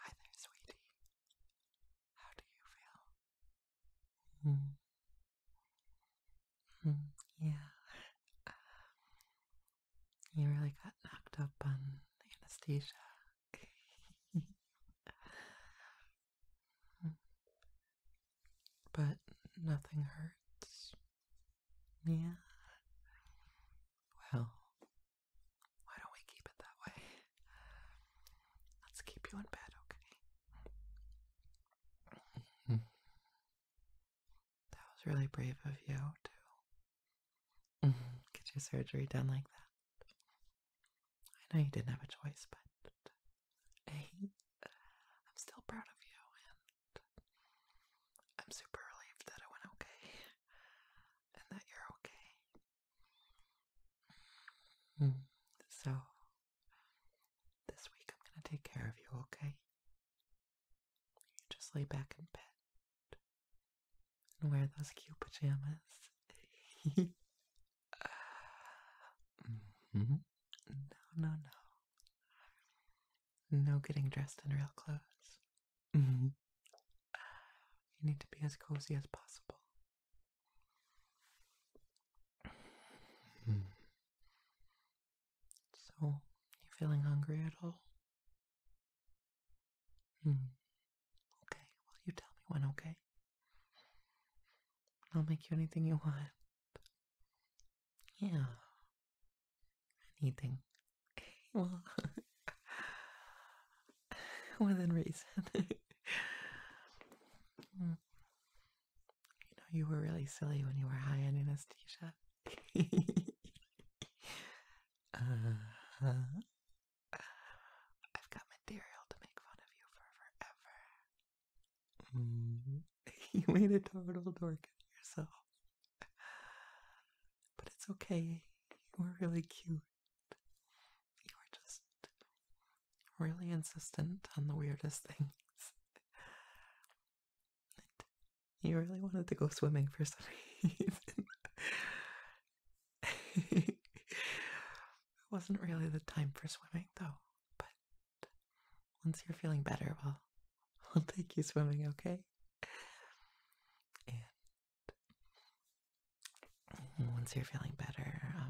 Hi there, sweetie. How do you feel? Mm. Mm, yeah. Um, you really got knocked up on anesthesia. Hmm. but nothing hurts. Yeah. Well, why don't we keep it that way? Let's keep you in bed, okay? That was really brave of you to get your surgery done like that. I know you didn't have a choice, but hey, I'm still proud of you, and I'm super relieved that it went okay and that you're okay. Hmm. So, this week I'm going to take care of you, okay? just lay back in bed and wear those cute pajamas. Mm-hmm. No, no, no. No getting dressed in real clothes. Mm-hmm. You need to be as cozy as possible. Mm. So, feeling hungry at all? Mm. Okay, well, you tell me when, okay? I'll make you anything you want. Yeah, anything. Okay, well, within reason. Mm. you know, you were really silly when you were high on anesthesia. Uh-huh. I've got material to make fun of you for forever. Mm-hmm. you made a total dork of yourself. But it's okay. You were really cute. You were just really insistent on the weirdest things. You really wanted to go swimming for some reason. it wasn't really the time for swimming though, but once you're feeling better, well, I'll take you swimming, okay? And once you're feeling better, um,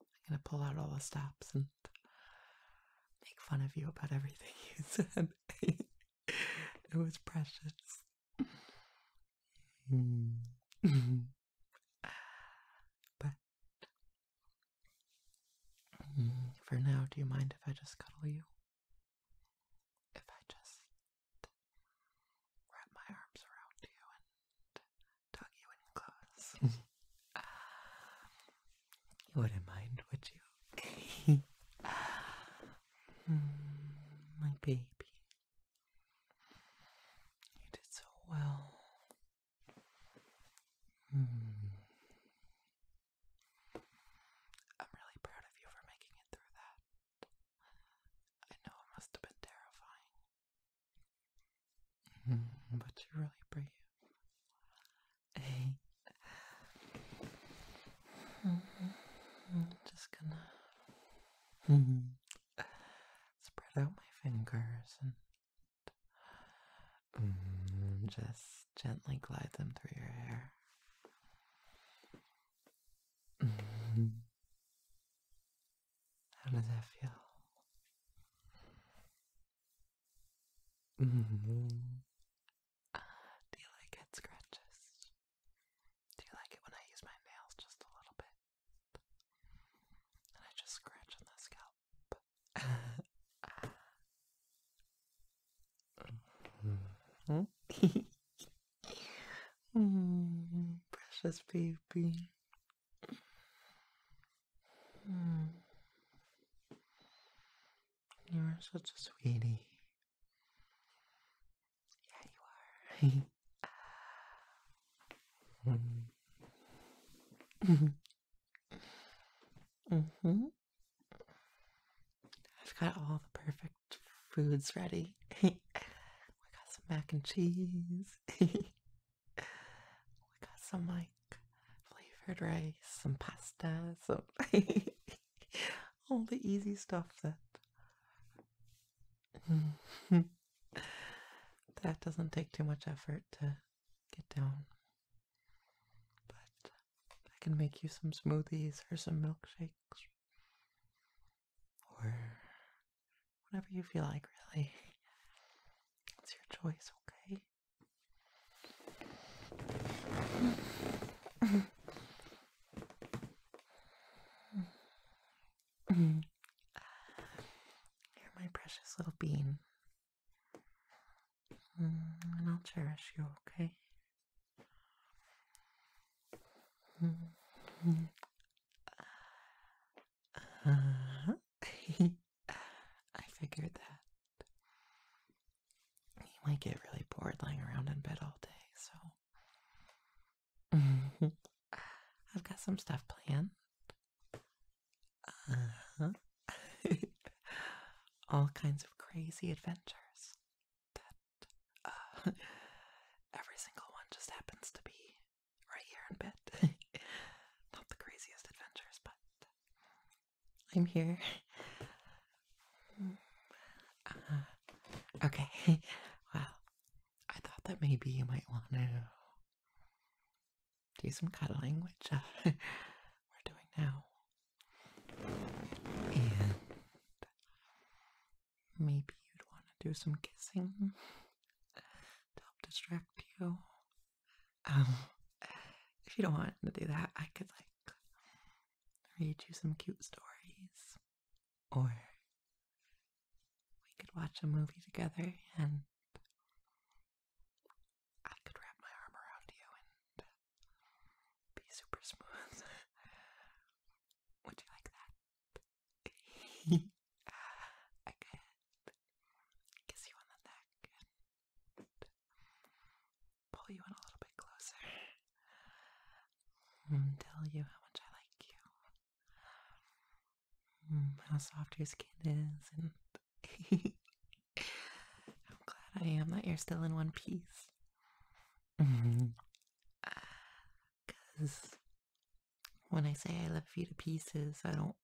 I'm gonna pull out all the stops and make fun of you about everything you said. it was precious. but for now, do you mind if I just cuddle you? if I just wrap my arms around you and tug you in close, you wouldn't mind, would you? my baby, you did so well. Hmm. I'm really proud of you for making it through that. I know it must have been terrifying. Mm-hmm. but you're really brave. Hey. Mm-hmm. I'm just gonna mm-hmm. spread out my fingers and Mm-hmm. just gently glide them through your hair. Mm-hmm. How does that feel? Mm-hmm. Do you like it scratches? Do you like it when I use my nails just a little bit? And I just scratch on the scalp. Mm-hmm. precious baby. Mm-hmm. You're such a sweetie. Yeah, you are. Mm-hmm hmm I've got all the perfect foods ready. we got some mac and cheese. we got some like flavored rice, some pasta, some all the easy stuff that that doesn't take too much effort to get down. But I can make you some smoothies or some milkshakes. Or whatever you feel like, really. It's your choice, okay? You're my precious little bean and mm, I'll cherish you, okay? Mm-hmm. I figured that. You might get really bored lying around in bed all day, so. I've got some stuff planned. Uh-huh. All kinds of crazy adventures that uh every single one just happens to be right here in bed. Not the craziest adventures, but I'm here. Uh, okay. Well, I thought that maybe you might want to do some cuddling, which uh, we're doing now, and maybe you'd want to do some kissing to help distract you. Um, if you don't want to do that, I could like read you some cute stories or we could watch a movie together and I could wrap my arm around you and uh, be super smooth. Would you like that? I could kiss you on the neck and pull you in a little bit closer tell you how much I like you. Mm, how soft your skin is and I'm glad I am that you're still in one piece. Mm-hmm. Because when I say I love you to pieces, I don't.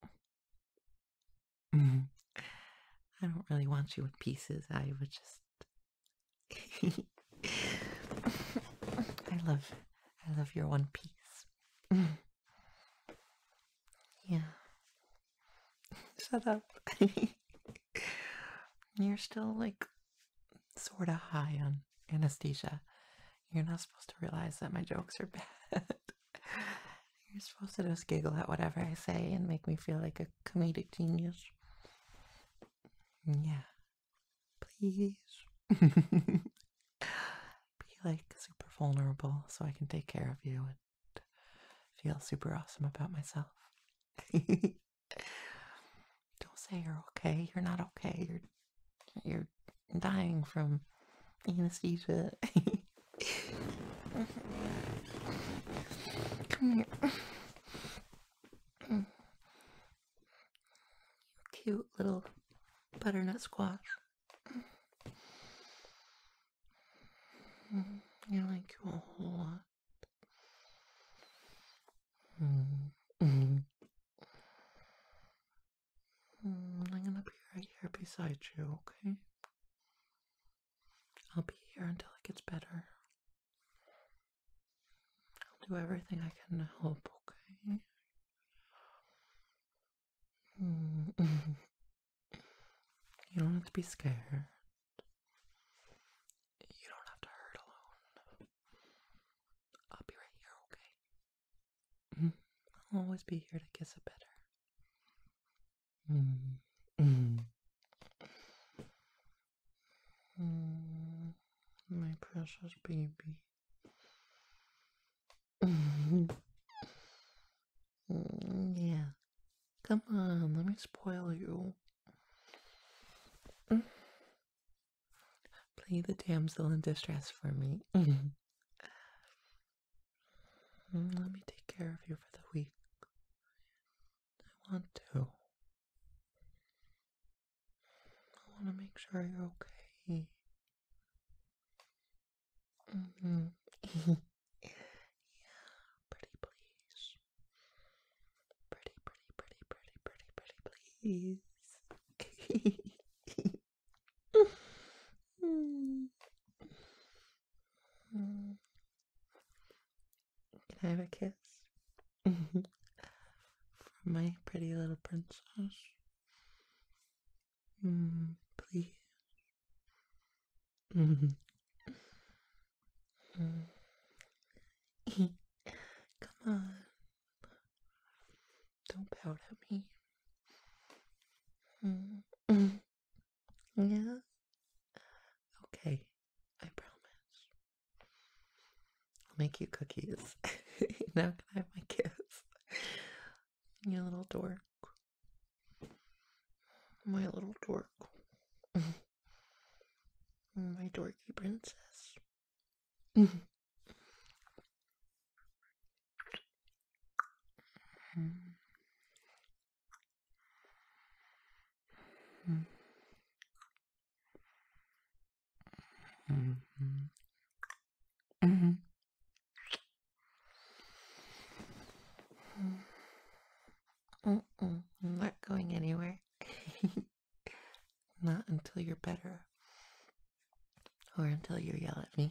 Mm-hmm. I don't really want you in pieces. I would just. I love I love your one piece. yeah. Shut up. You're still like sorta high on anesthesia. You're not supposed to realize that my jokes are bad. You're supposed to just giggle at whatever I say and make me feel like a comedic genius. Yeah, Please. Be like super vulnerable so I can take care of you and feel super awesome about myself. Don't say you're okay. You're not okay. You're you're dying from anesthesia. Come here cute little butternut squash. Mm-hmm. I like you a whole lot. Mm-hmm. Mm-hmm. I'm gonna be right here beside you, okay? I'll be here until it gets better. I'll do everything I can to help, okay? Mm. You don't have to be scared. You don't have to hurt alone. I'll be right here, okay? Mm. I'll always be here to kiss it better. Mm. Mm, my precious baby. Mm, yeah. Come on, let me spoil you. Play the damsel in distress for me. Mm, let me take care of you for the week. I want to. I want to make sure you're okay. Mm -hmm. yeah, pretty please. Pretty, pretty, pretty, pretty, pretty, pretty, please. mm. Mm. Can I have a kiss? For my pretty little princess. Mm, please. Mm. Come on. Don't pout at me. Yeah? Okay, I promise. I'll make you cookies. now can I have my kiss? You little dork. My little dork. my dorky princess. Hmm. Mm-hmm. Mm-hmm. Mm-mm, I'm not going anywhere. not until you're better. Or until you yell at me.